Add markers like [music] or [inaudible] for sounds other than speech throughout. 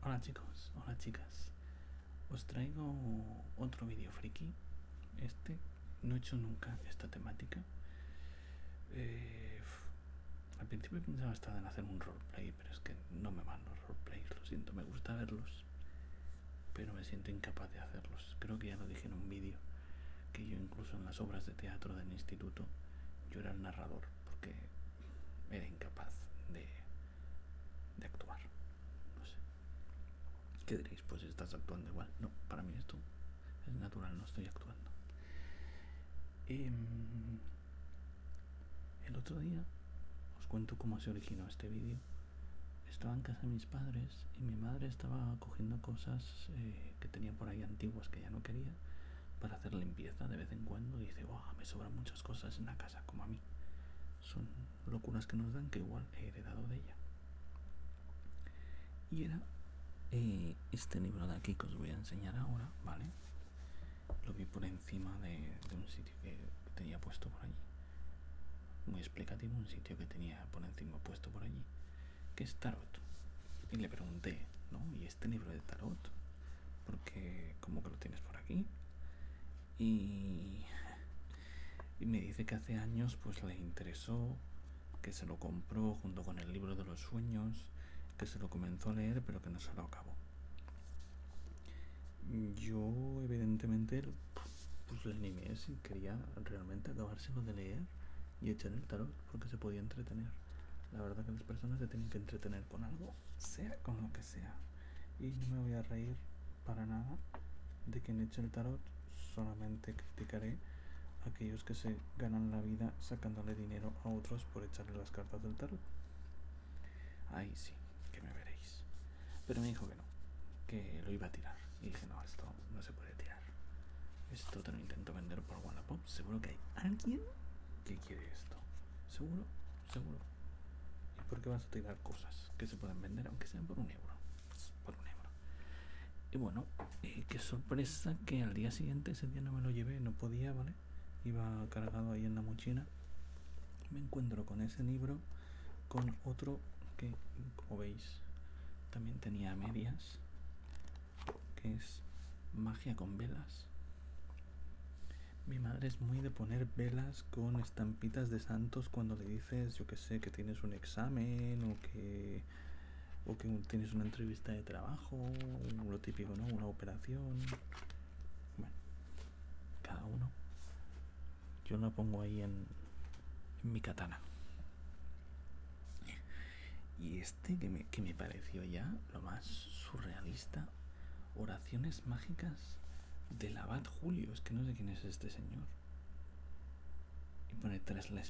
Hola chicos, hola chicas. Os traigo otro vídeo friki. Este no he hecho nunca esta temática. Eh, al principio pensaba hasta en hacer un roleplay, pero es que no me van los roleplays, lo siento, me gusta verlos, pero me siento incapaz de hacerlos. Creo que ya lo dije en un vídeo, que yo incluso en las obras de teatro del instituto, yo era el narrador, porque era incapaz de, actuar. ¿Qué diréis? Pues estás actuando igual. No, para mí esto es natural, no estoy actuando. Em, el otro día os cuento cómo se originó este vídeo. Estaba en casa de mis padres y mi madre estaba cogiendo cosas eh, que tenía por ahí antiguas que ya no quería para hacer limpieza de vez en cuando dice, me sobran muchas cosas en la casa, como a mí. Son locuras que nos dan que igual he heredado de ella. Y era eh, este libro de aquí que os voy a enseñar ahora, ¿vale? Lo vi por encima de, un sitio que, que tenía puesto por allí. Muy explicativo, un sitio que tenía por encima puesto por allí, que es Tarot. Y le pregunté, ¿no? ¿Y este libro de Tarot? porque como que lo tienes por aquí y, me dice que hace años pues le interesó que se lo compró junto con el libro de los sueños que se lo comenzó a leer pero que no se lo acabó yo evidentemente pues le animé si quería realmente acabárselo de leer y echar el tarot porque se podía entretener la verdad que las personas se tienen que entretener con algo, sea con lo que sea. Y no me voy a reír para nada de quien eche el tarot, solamente criticaré aquellos que se ganan la vida sacándole dinero a otros por echarle las cartas del tarot. Ahí sí, que me veréis. Pero me dijo que no, que lo iba a tirar. Y dije, no, esto no se puede tirar. Esto te lo intento vender por Wallapop. Seguro que hay alguien que quiere esto. Seguro, seguro. ¿Y por qué vas a tirar cosas que se pueden vender, aunque sean por un euro? Pues, por un euro. Y bueno, eh, qué sorpresa que al día siguiente, ese día no me lo llevé, no podía, ¿vale? Iba cargado ahí en la mochila. Me encuentro con ese libro, con otro que, como veis, también tenía medias, que es Magia con velas. Mi madre es muy de poner velas con estampitas de santos cuando le dices, yo que sé, que tienes un examen o que, o que tienes una entrevista de trabajo, lo típico, ¿no? Una operación. Bueno, cada uno. Yo la pongo ahí en, mi katana. Y este que me, pareció ya lo más surrealista. Oraciones mágicas del abad Julio. Es que no sé quién es este señor. Y pone, tras, la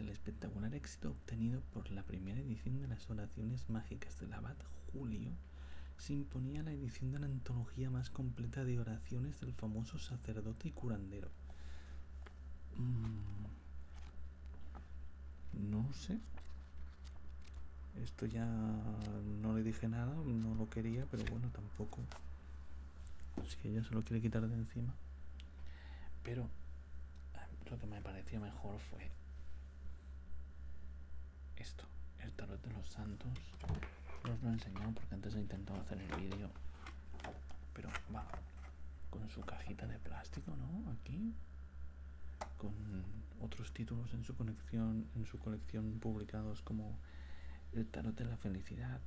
el espectacular éxito obtenido por la primera edición de las oraciones mágicas del abad Julio, se imponía la edición de la antología más completa de oraciones del famoso sacerdote y curandero. Mm, no sé esto ya no le dije nada, no lo quería, pero bueno, tampoco. si que ella se lo quiere quitar de encima. Pero ah, lo que me pareció mejor fue esto, el tarot de los santos. No os lo he enseñado porque antes he intentado hacer el vídeo. Pero va, con su cajita de plástico, ¿no? Aquí. Con otros títulos en su, colección, en su colección publicados como El Tarot de la Felicidad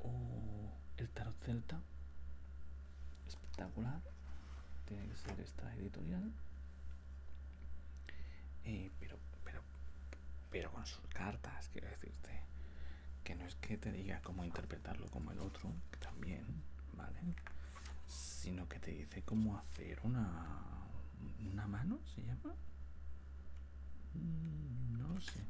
o El Tarot Celta. Espectacular. Tiene que ser esta editorial. Eh, pero, pero con sus cartas, quiero decirte. Que no es que te diga cómo interpretarlo como el otro, también, ¿vale? sino que te dice cómo hacer una mano se llama mm, no sé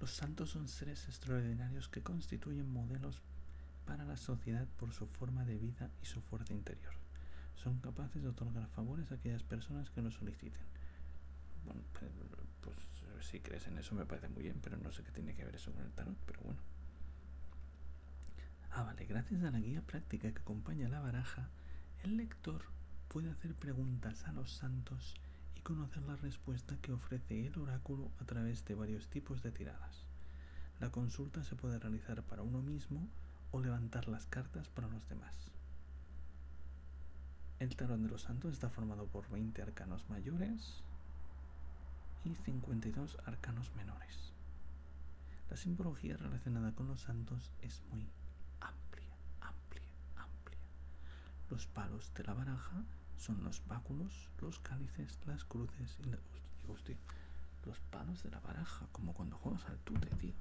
los santos son seres extraordinarios que constituyen modelos para la sociedad por su forma de vida y su fuerza interior son capaces de otorgar favores a aquellas personas que lo soliciten bueno, pues, pues si crees en eso me parece muy bien, pero no sé qué tiene que ver eso con el tarot, pero bueno. Ah, vale, gracias a la guía práctica que acompaña la baraja, el lector puede hacer preguntas a los santos y conocer la respuesta que ofrece el oráculo a través de varios tipos de tiradas. La consulta se puede realizar para uno mismo o levantar las cartas para los demás. El tarón de los santos está formado por 20 arcanos mayores, y 52 arcanos menores. La simbología relacionada con los santos es muy amplia, amplia, amplia. Los palos de la baraja son los báculos, los cálices, las cruces y los palos de la baraja, como cuando juegas al tute, tío.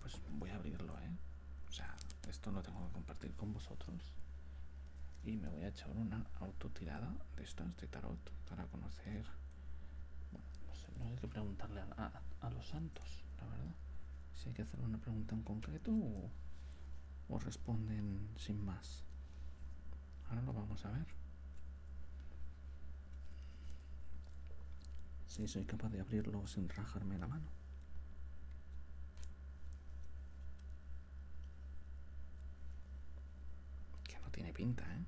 Pues voy a abrirlo, ¿eh? O sea, esto lo tengo que compartir con vosotros y me voy a echar una autotirada de estos de tarot para conocer no hay que preguntarle a, los santos la verdad si hay que hacer una pregunta en concreto o, responden sin más ahora lo vamos a ver si soy capaz de abrirlo sin rajarme la mano que no tiene pinta, ¿eh?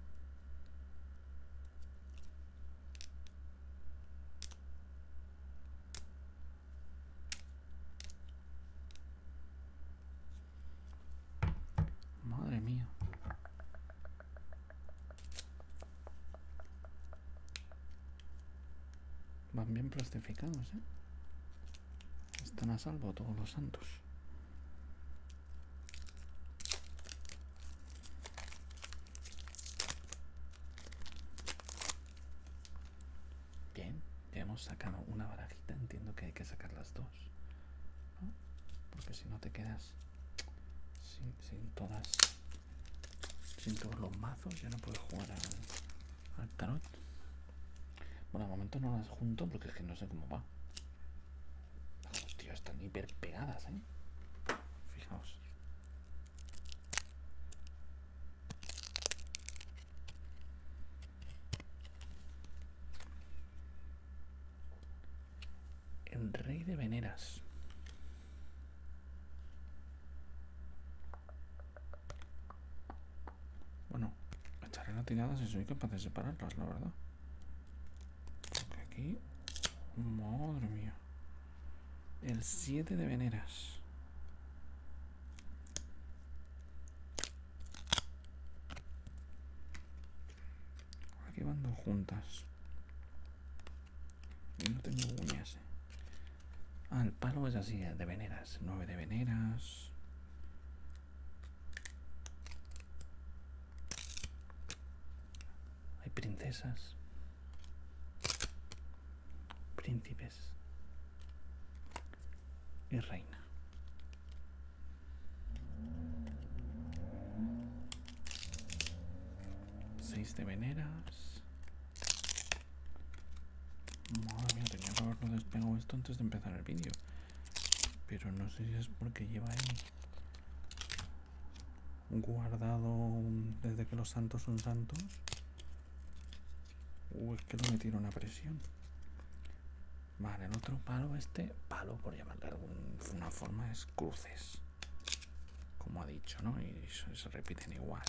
Madre mía. Van bien plastificados, ¿eh? Están a salvo todos los santos. Bien, ya hemos sacado una barajita. Entiendo que hay que sacar las dos. Porque si no te quedas sin, todas... Sin todos los mazos ya no puedes jugar al tarot. Bueno, de momento no las junto porque es que no sé cómo va. Hostia, están hiper pegadas, ¿eh? Fijaos. El rey de veneras. Bueno, Echaré la tirada si soy capaz de separarlas, la verdad. aquí... Madre mía. El 7 de veneras. Aquí van dos juntas. Y no tengo uñas. Ah, el palo es así, de veneras. 9 de veneras. Hay princesas, príncipes y reina. Seis de veneras Madre mía, tenía que haberlo despegado esto antes de empezar el vídeo. Pero no sé si es porque lleva ahí guardado desde que los santos son santos. Uy, es que lo metieron a presión. Vale, el otro palo, este palo, por llamarle de alguna forma, es cruces. Como ha dicho, ¿no? Y se repiten igual.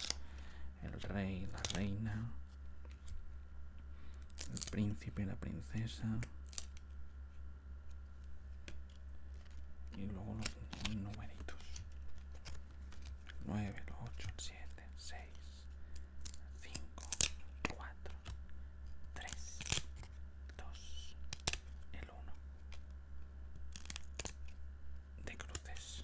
El rey, la reina, el príncipe, y la princesa. Y luego los numeritos. 9, 8, 7, 6, 5, 4, 3, 2, el 1. De cruces.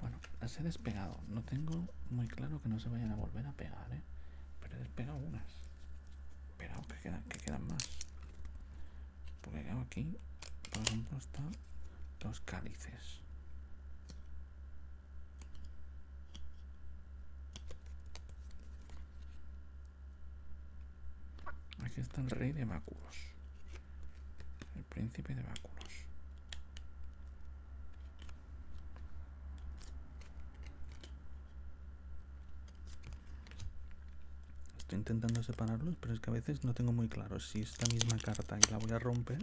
Bueno, las he despegado. No tengo muy claro que no se vayan a volver a pegar, ¿eh? Pero he despegado unas. Pero que quedan, que más. Porque aquí, por ejemplo, están los cálices. Aquí está el rey de Máculos. El príncipe de báculos. Estoy intentando separarlos, pero es que a veces no tengo muy claro si esta misma carta y la voy a romper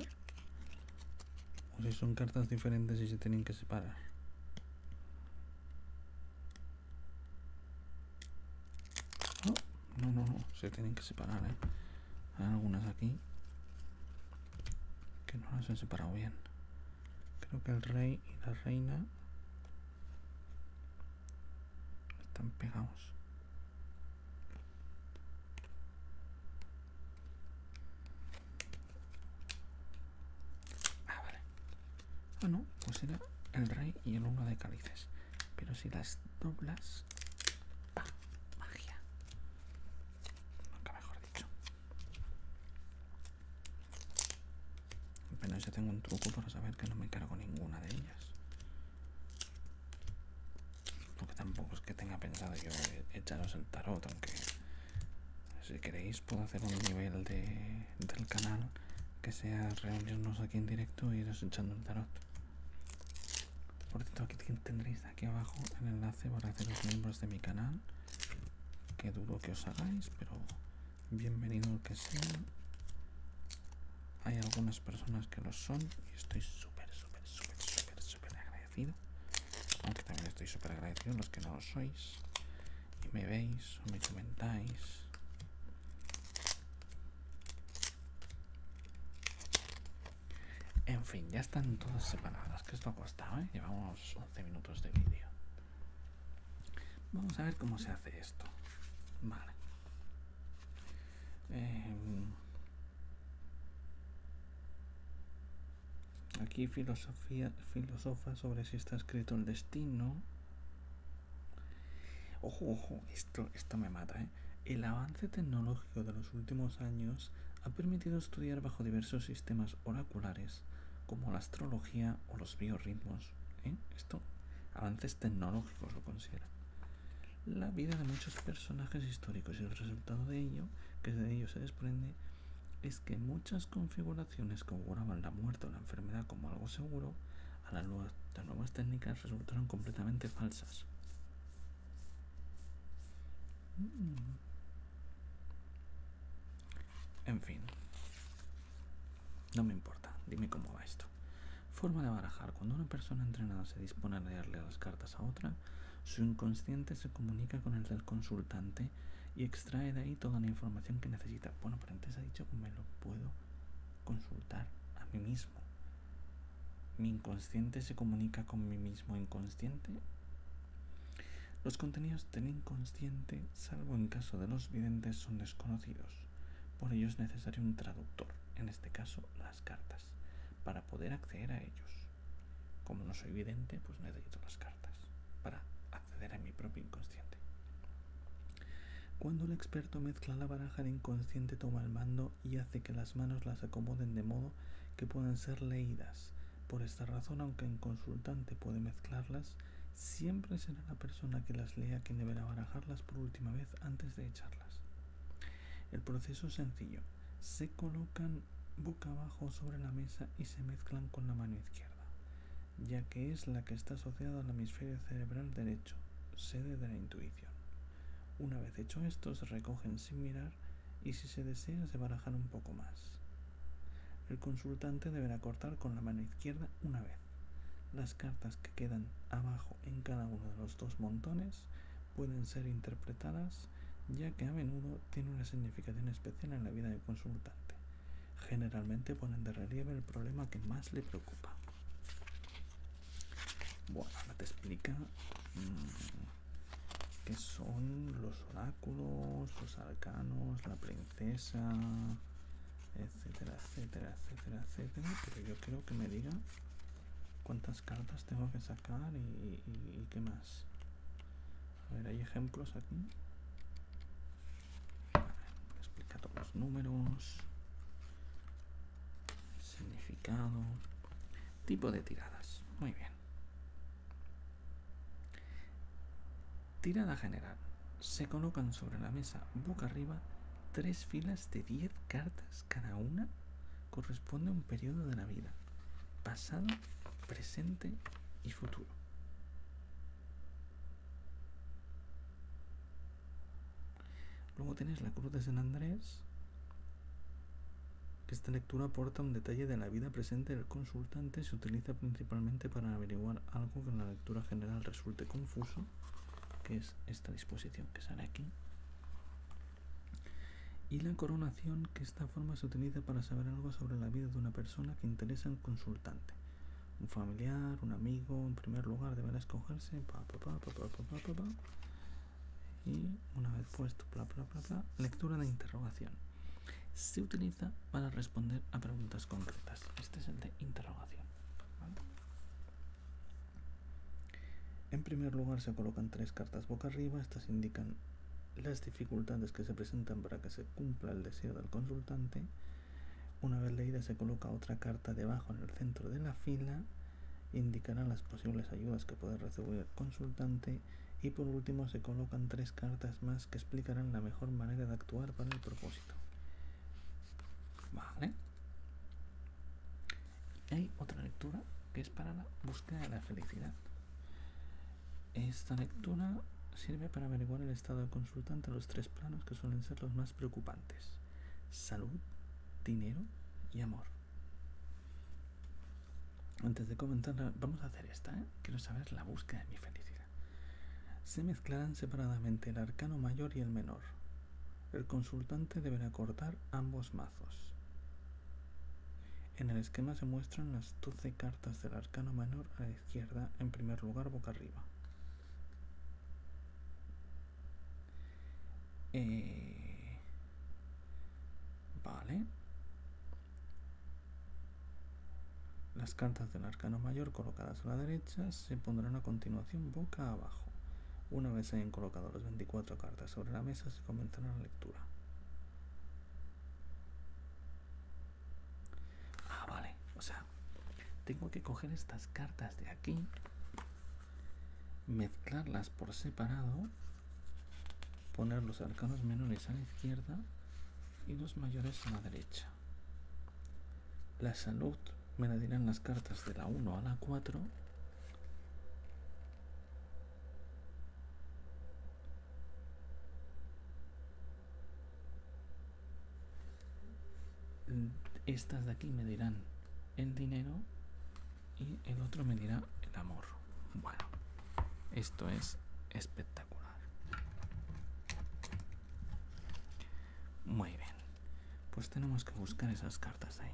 o si son cartas diferentes y se tienen que separar. no, no, no. se tienen que separar, ¿eh? hay algunas aquí que no las he separado bien creo que el rey y la reina están pegados ah vale ah no pues era el rey y el uno de cálices pero si las doblas magia. Nunca mejor dicho. Apenas ya tengo un truco para saber que no me cargo ninguna de ellas. Porque tampoco es que tenga pensado yo echaros el tarot, aunque si queréis puedo hacer un nivel del canal que sea reunirnos aquí en directo y e iros echando el tarot. Por cierto, aquí tendréis aquí abajo el enlace para hacer los miembros de mi canal. qué duro que os hagáis, pero bienvenido que sea. Hay algunas personas que lo son y estoy súper, súper, súper, súper, súper agradecido. Aunque también estoy súper agradecido los que no lo sois. Y me veis o me comentáis. En fin, ya están todas separadas, que esto ha costado, ¿eh? Llevamos 11 minutos de vídeo. Vamos a ver cómo se hace esto. Vale. Em, aquí filosofía filosofa sobre si está escrito el destino. Ojo, ojo, esto, esto me mata, ¿eh? el avance tecnológico de los últimos años ha permitido estudiar bajo diversos sistemas oraculares, como la astrología o los biorritmos. ¿eh? Esto, avances tecnológicos lo consideran. La vida de muchos personajes históricos y el resultado de ello, que de ello se desprende, es que muchas configuraciones que auguraban la muerte o la enfermedad como algo seguro, a las nuevas técnicas resultaron completamente falsas. En fin. No me importa, dime cómo va esto. Forma de barajar. Cuando una persona entrenada se dispone a leerle las cartas a otra, su inconsciente se comunica con el del consultante y extrae de ahí toda la información que necesita. Bueno, pero antes ha dicho que me lo puedo consultar a mí mismo. Mi inconsciente se comunica con mi mismo inconsciente. Los contenidos del inconsciente, salvo en caso de los videntes, son desconocidos. Por ello es necesario un traductor, en este caso las cartas, para poder acceder a ellos. Como no soy vidente, pues necesito las cartas para acceder a mi propio inconsciente. Cuando el experto mezcla la baraja, de inconsciente toma el mando y hace que las manos las acomoden de modo que puedan ser leídas. Por esta razón, aunque en consultante puede mezclarlas, siempre será la persona que las lea quien deberá barajarlas por última vez antes de echarlas. El proceso es sencillo. Se colocan boca abajo sobre la mesa y se mezclan con la mano izquierda, ya que es la que está asociada al hemisferio cerebral derecho, sede de la intuición. Una vez hecho esto, se recogen sin mirar y si se desea se barajan un poco más. El consultante deberá cortar con la mano izquierda una vez. Las cartas que quedan abajo en cada uno de los dos montones pueden ser interpretadas ya que a menudo tienen una significación especial en la vida del consultante. Generalmente ponen de relieve el problema que más le preocupa. Bueno, ahora te explica mm, que son los oráculos, los arcanos, la princesa, etcétera, etcétera, etcétera, etcétera. Pero yo quiero que me diga cuántas cartas tengo que sacar y, qué más. A ver, hay ejemplos aquí. explica todos los números, significado tipo de tiradas. Muy bien. Tirada general. Se colocan sobre la mesa boca arriba tres filas de diez cartas cada una corresponde a un periodo de la vida, pasado, presente y futuro. Luego tenés la cruz de San Andrés, esta lectura aporta un detalle de la vida presente del consultante, se utiliza principalmente para averiguar algo que en la lectura general resulte confuso, que es esta disposición que sale aquí. Y la coronación, que esta forma se utiliza para saber algo sobre la vida de una persona que interesa al consultante. Un familiar, un amigo, en primer lugar deberá escogerse y una vez puesto lectura de interrogación se utiliza para responder a preguntas concretas este es el de interrogación en primer lugar se colocan tres cartas boca arriba estas indican las dificultades que se presentan para que se cumpla el deseo del consultante una vez leída se coloca otra carta debajo en el centro de la fila indicará las posibles ayudas que puede recibir el consultante y por último se colocan tres cartas más que explicarán la mejor manera de actuar para el propósito. Vale. hay otra lectura que es para la búsqueda de la felicidad. Esta lectura sirve para averiguar el estado del consultante en los tres planos que suelen ser los más preocupantes. Salud, dinero y amor. Antes de comentarla, vamos a hacer esta, ¿eh? Quiero saber la búsqueda de mi felicidad. Se mezclarán separadamente el arcano mayor y el menor. El consultante deberá cortar ambos mazos. En el esquema se muestran las 12 cartas del arcano menor a la izquierda, en primer lugar boca arriba. Eh, Vale. Las cartas del arcano mayor colocadas a la derecha se pondrán a continuación boca abajo. Una vez hayan colocado las 24 cartas sobre la mesa se comenzará la lectura. Ah, vale. O sea, tengo que coger estas cartas de aquí, mezclarlas por separado poner los arcanos menores a la izquierda y los mayores a la derecha. La salud me la dirán las cartas de la 1 a la 4. Estas de aquí me dirán el dinero y el otro me dirá el amor. Bueno, esto es espectacular. Muy bien, pues tenemos que buscar esas cartas ahí.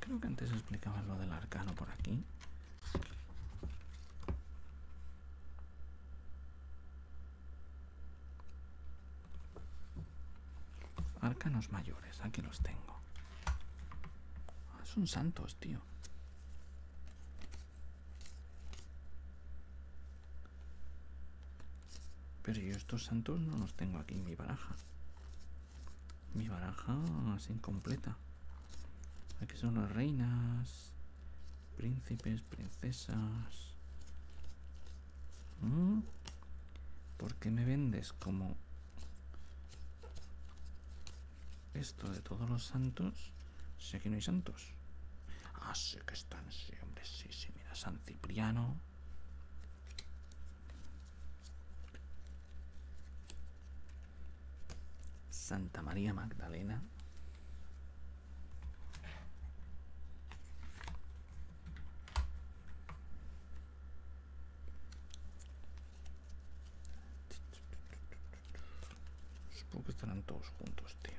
Creo que antes explicaba lo del arcano por aquí. Arcanos mayores, aquí los tengo. Ah, son santos, tío. Pero yo estos santos no los tengo aquí en mi baraja. Mi baraja es incompleta. Aquí son las reinas, príncipes, princesas, Mm. porque me vendes como esto de todos los santos? Sé que no hay santos. Ah, sí que están, sí, hombre, sí, sí, mira, San Cipriano. Santa María Magdalena. Supongo que estarán todos juntos, tío.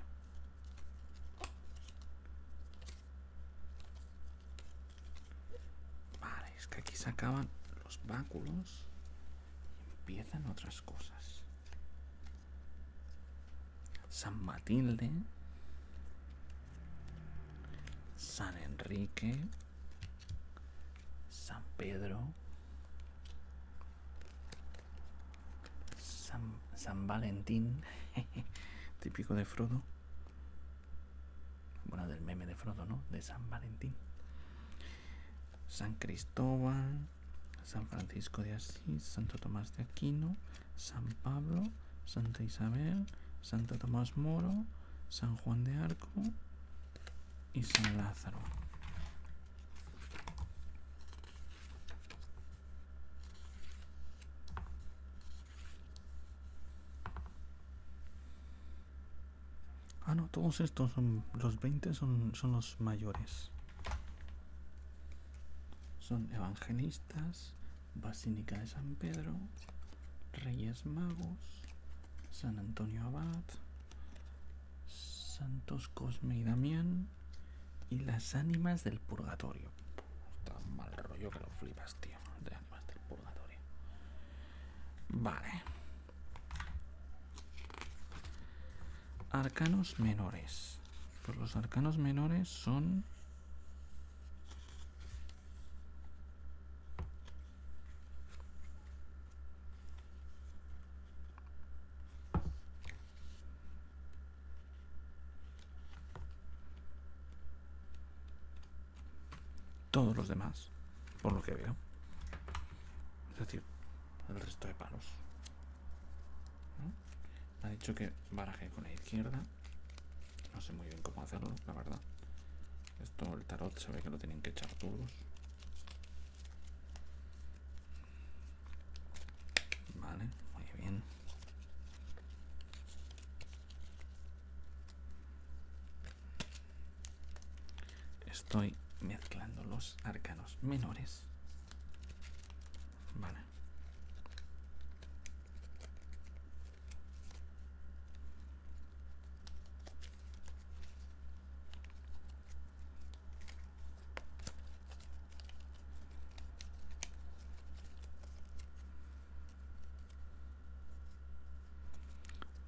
Vale, es que aquí se acaban los báculos y empiezan otras cosas. San Matilde. San Enrique, San Pedro, San, Valentín, [laughs] típico de Frodo. Bueno, del meme de Frodo, ¿no? De San Valentín. San Cristóbal, San Francisco de Asís, Santo Tomás de Aquino, San Pablo, Santa Isabel, Santa Tomás Moro, San Juan de Arco y San Lázaro. Ah, no, todos estos son, los 20 son, son los mayores. Son evangelistas, Basílica de San Pedro, Reyes Magos, San Antonio Abad, Santos Cosme y Damián y las ánimas del purgatorio. Está mal rollo que lo flipas, tío. De ánimas del purgatorio. Vale. Arcanos menores. Pues los arcanos menores son todos los demás, por lo que veo. Es decir, el resto de palos. ha dicho que baraje con la izquierda. No sé muy bien cómo hacerlo, la verdad. Esto, el tarot, se ve que lo tienen que echar todos Vale, muy bien. Estoy mezclando los arcanos menores. Vale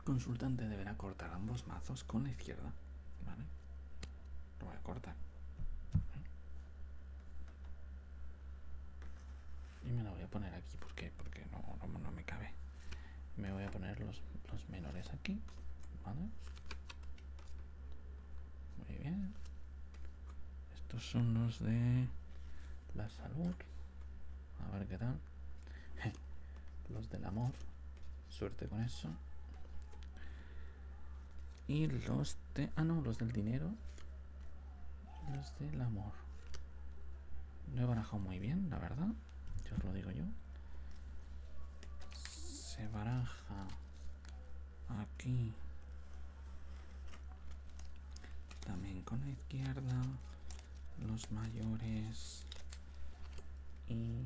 consultante deberá cortar ambos mazos con la izquierda. ¿Vale? Lo voy a cortar y me la voy a poner aquí porque porque no, no, me cabe me voy a poner los, los menores aquí ¿vale? muy bien estos son los de la salud a ver qué tal [laughs] los del amor suerte con eso y los de ah no los del dinero los del amor. No he barajado muy bien, la verdad. Yo os lo digo yo. Se baraja aquí. También con la izquierda. Los mayores. Y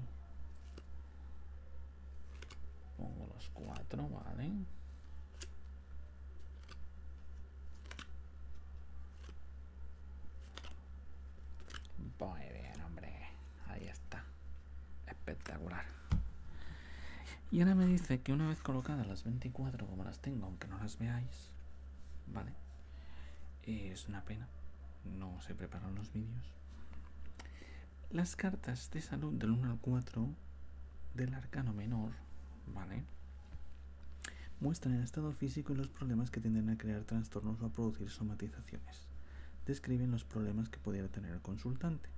pongo los cuatro, vale. Muy bien, hombre. Ahí está. Espectacular. Y ahora me dice que una vez colocadas las 24 como las tengo, aunque no las veáis, ¿vale? Es una pena. No se preparan los vídeos. Las cartas de salud del 1 al 4 del arcano menor, ¿vale? Muestran el estado físico y los problemas que tienden a crear trastornos o a producir somatizaciones. Describen los problemas que pudiera tener el consultante.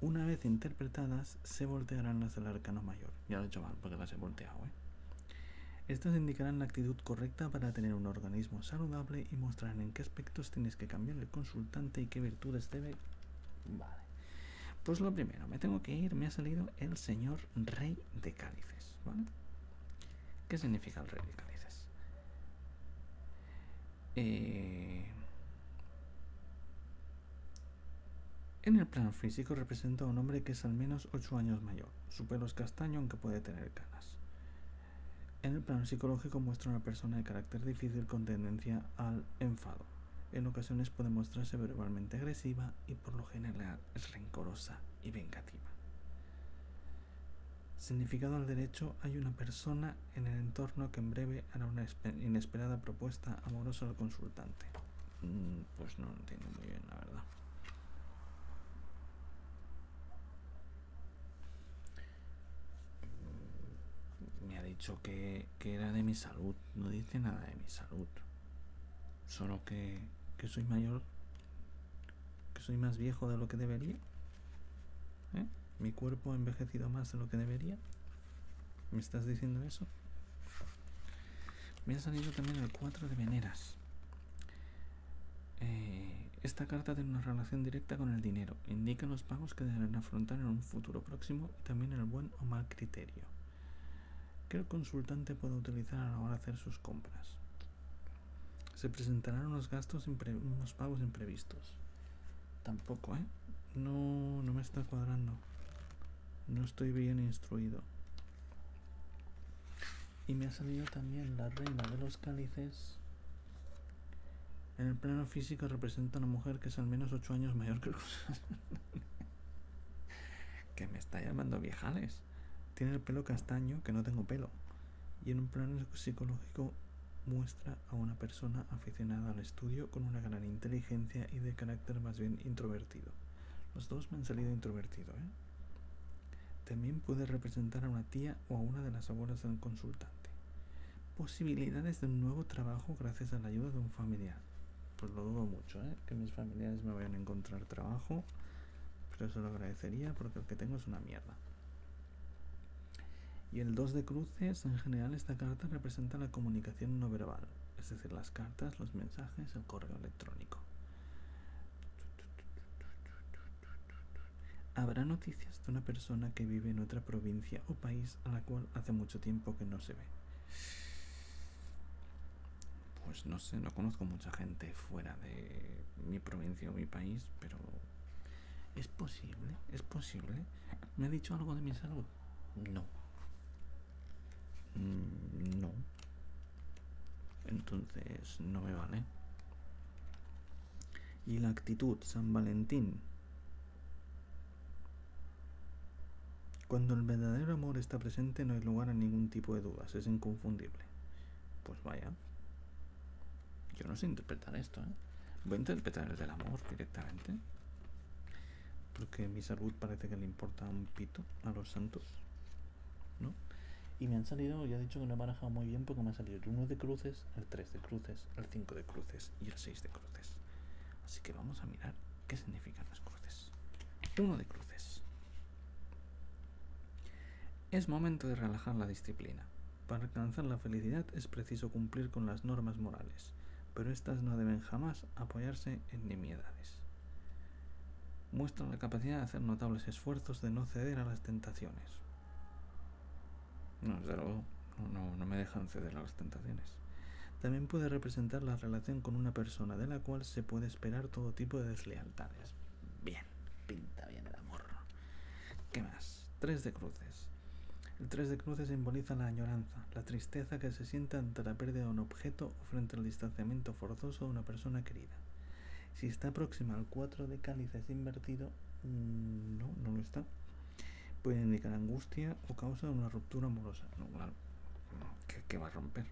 Una vez interpretadas, se voltearán las del arcano mayor. Ya lo he hecho mal porque las he volteado, ¿eh? Estas indicarán la actitud correcta para tener un organismo saludable y mostrarán en qué aspectos tienes que cambiar el consultante y qué virtudes debe. Vale. Pues lo primero, me tengo que ir, me ha salido el señor rey de cálices. ¿Qué significa el rey de cálices? Eh, en el plano físico representa a un hombre que es al menos 8 años mayor. Su pelo es castaño aunque puede tener canas. En el plano psicológico muestra una persona de carácter difícil con tendencia al enfado. En ocasiones puede mostrarse verbalmente agresiva y por lo general es rencorosa y vengativa. Significado al derecho hay una persona en el entorno que en breve hará una inesperada propuesta amorosa al consultante. Mm, pues no lo entiendo muy bien, la verdad. Me ha dicho que, que era de mi salud, no dice nada de mi salud solo que, soy mayor, que soy más viejo de lo que debería. ¿eh? Mi cuerpo ha envejecido más de lo que debería. ¿Me estás diciendo eso? Me ha salido también el 4 de veneras. Eh, esta carta tiene una relación directa con el dinero. Indica los pagos que deberán afrontar en un futuro próximo y también el buen o mal criterio que el consultante pueda utilizar a la hora hacer sus compras. Se presentarán unos gastos, unos pagos imprevistos. Tampoco, ¿eh? No, no me está cuadrando. No estoy bien instruido. Y me ha salido también la reina de los cálices. En el plano físico representa una mujer que es al menos 8 años mayor que los [laughs] [laughs] que me está llamando viejales. Tiene el pelo castaño, que no tengo pelo. Y en un plano psicológico muestra a una persona aficionada al estudio con una gran inteligencia y de carácter más bien introvertido. Los dos me han salido introvertido, ¿eh? También puede representar a una tía o a una de las abuelas de un consultante. Posibilidades de un nuevo trabajo gracias a la ayuda de un familiar pues lo dudo mucho, ¿eh? que mis familiares me vayan a encontrar trabajo, pero eso lo agradecería porque el que tengo es una mierda. Y el 2 de cruces, en general, esta carta representa la comunicación no verbal, es decir, las cartas, los mensajes, el correo electrónico. ¿Habrá noticias de una persona que vive en otra provincia o país a la cual hace mucho tiempo que no se ve? pues no sé, no conozco mucha gente fuera de mi provincia o mi país, pero ¿es posible? ¿Es posible? ¿Me ha dicho algo de mi salud? No. Mm, no. Entonces no me vale. ¿Y la actitud San Valentín? Cuando el verdadero amor está presente no hay lugar a ningún tipo de dudas, es inconfundible. Pues vaya. Yo no sé interpretar esto, ¿eh? Voy a interpretar el del amor directamente. Porque mi salud parece que le importa un pito a los santos. ¿No? Y me han salido, ya he dicho que no he manejado muy bien porque me ha salido el 1 de cruces, el 3 de cruces, el 5 de cruces y el 6 de cruces. Así que vamos a mirar qué significan las cruces de cruces. Es momento de relajar la disciplina. Para alcanzar la felicidad es preciso cumplir con las normas morales, pero éstas no deben jamás apoyarse en nimiedades. Muestran la capacidad de hacer notables esfuerzos de no ceder a las tentaciones. No, no, me dejan ceder a las tentaciones. También puede representar la relación con una persona de la cual se puede esperar todo tipo de deslealtades. Bien, pinta bien el amor. ¿Qué más? Tres de cruces. El tres de cruces simboliza la añoranza, la tristeza que se siente ante la pérdida de un objeto o frente al distanciamiento forzoso de una persona querida. Si está próxima al 4 de cálices invertido, mm, no, no lo está. Puede indicar angustia o causa de una ruptura amorosa. No, claro. ¿Qué va a romper.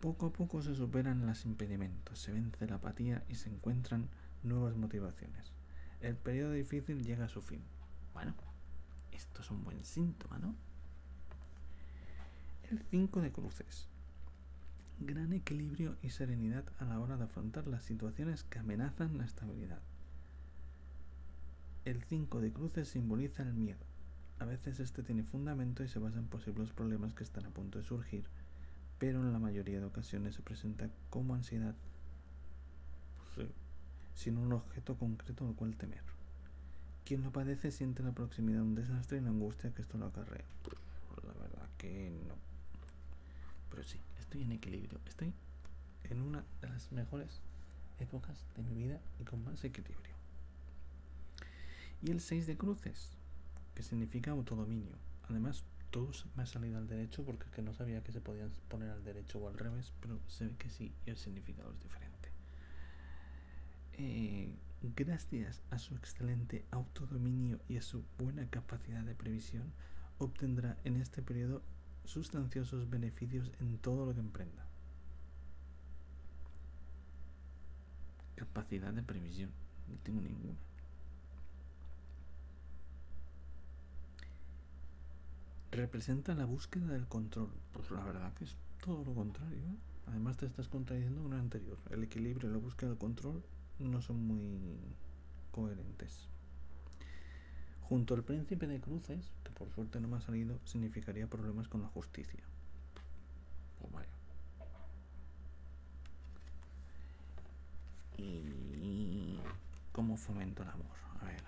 Poco a poco se superan los impedimentos, se vence la apatía y se encuentran nuevas motivaciones. El periodo difícil llega a su fin. Bueno, esto es un buen síntoma, ¿no? El 5 de cruces. Gran equilibrio y serenidad a la hora de afrontar las situaciones que amenazan la estabilidad. El 5 de cruces simboliza el miedo. A veces este tiene fundamento y se basa en posibles problemas que están a punto de surgir, pero en la mayoría de ocasiones se presenta como ansiedad, sin un objeto concreto al cual temer. Quien lo padece siente la proximidad de un desastre y la angustia que esto lo acarrea. Pues la verdad que no. Pero sí, estoy en equilibrio. Estoy en una de las mejores épocas de mi vida y con más equilibrio. Y el 6 de cruces, que significa autodominio. Además, todos me ha salido al derecho porque no sabía que se podían poner al derecho o al revés, pero se ve que sí y el significado es diferente. Eh, gracias a su excelente autodominio y a su buena capacidad de previsión, obtendrá en este periodo sustanciosos beneficios en todo lo que emprenda. Capacidad de previsión. No tengo ninguna. Representa la búsqueda del control. Pues la verdad que es todo lo contrario. ¿eh? Además te estás contrayendo con el anterior. El equilibrio y la búsqueda del control no son muy coherentes. Junto al príncipe de cruces, que por suerte no me ha salido, significaría problemas con la justicia. Oh, ¿Y cómo fomento el amor? A ver,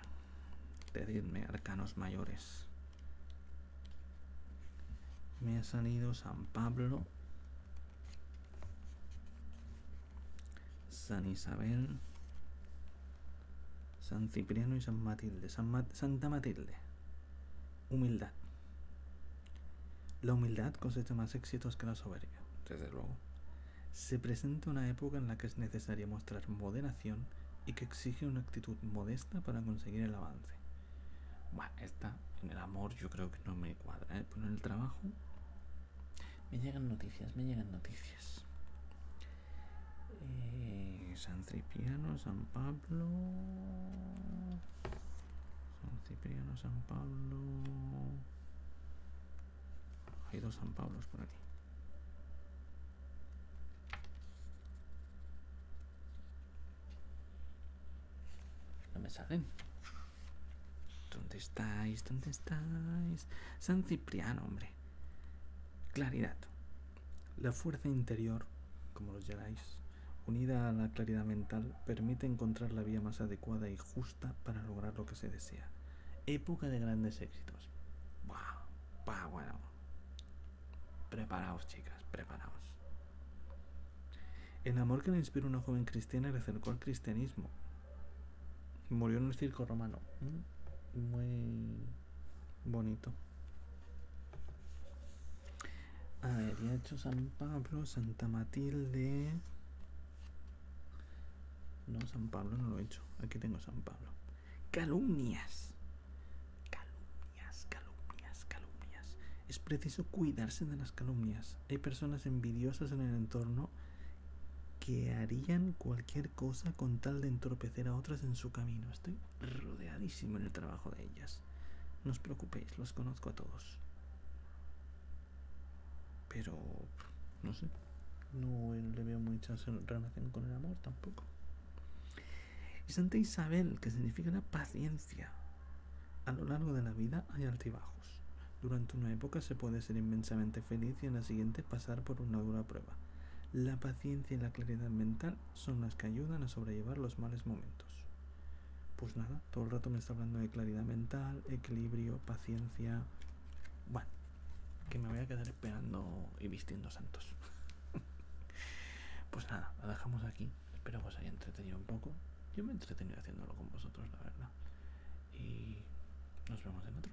decidme, arcanos mayores. Me ha salido San Pablo, San Isabel, San Cipriano y San Matilde. Santa Matilde. Humildad. La humildad cosecha más éxitos que la soberbia, desde luego. Se presenta una época en la que es necesario mostrar moderación y que exige una actitud modesta para conseguir el avance. Bueno, esta en el amor yo creo que no me cuadra, ¿eh? en el trabajo me llegan noticias, me llegan noticias. Eh, San Cipriano, San Pablo, San Cipriano, San Pablo. Hay dos San Pablos por aquí. No me salen. ¿Dónde estáis? ¿Dónde estáis? San Cipriano, hombre. Claridad. La fuerza interior, como los llamáis, unida a la claridad mental, permite encontrar la vía más adecuada y justa para lograr lo que se desea. Época de grandes éxitos. ¡Wow! Pa bueno! Preparaos, chicas, preparaos. El amor que le inspiró una joven cristiana le acercó al cristianismo. Murió en un circo romano. Mm, muy bonito. A ver, ya he hecho San Pablo, Santa Matilde. No, San Pablo no lo he hecho. Aquí tengo San Pablo. Calumnias. Calumnias, calumnias, calumnias. Es preciso cuidarse de las calumnias. Hay personas envidiosas en el entorno que harían cualquier cosa con tal de entorpecer a otras en su camino. Estoy rodeadísimo en el trabajo de ellas. No os preocupéis, los conozco a todos. Pero, no sé, no le veo mucha relación con el amor tampoco. Santa Isabel, que significa la paciencia. A lo largo de la vida hay altibajos. Durante una época se puede ser inmensamente feliz y en la siguiente pasar por una dura prueba. La paciencia y la claridad mental son las que ayudan a sobrellevar los males momentos. Pues nada, todo el rato me está hablando de claridad mental, equilibrio, paciencia. Bueno, que me voy a quedar esperando y vistiendo santos. [laughs] pues nada, la dejamos aquí. Espero que os haya entretenido un poco. Yo me he entretenido haciéndolo con vosotros, la verdad. Y nos vemos en otro.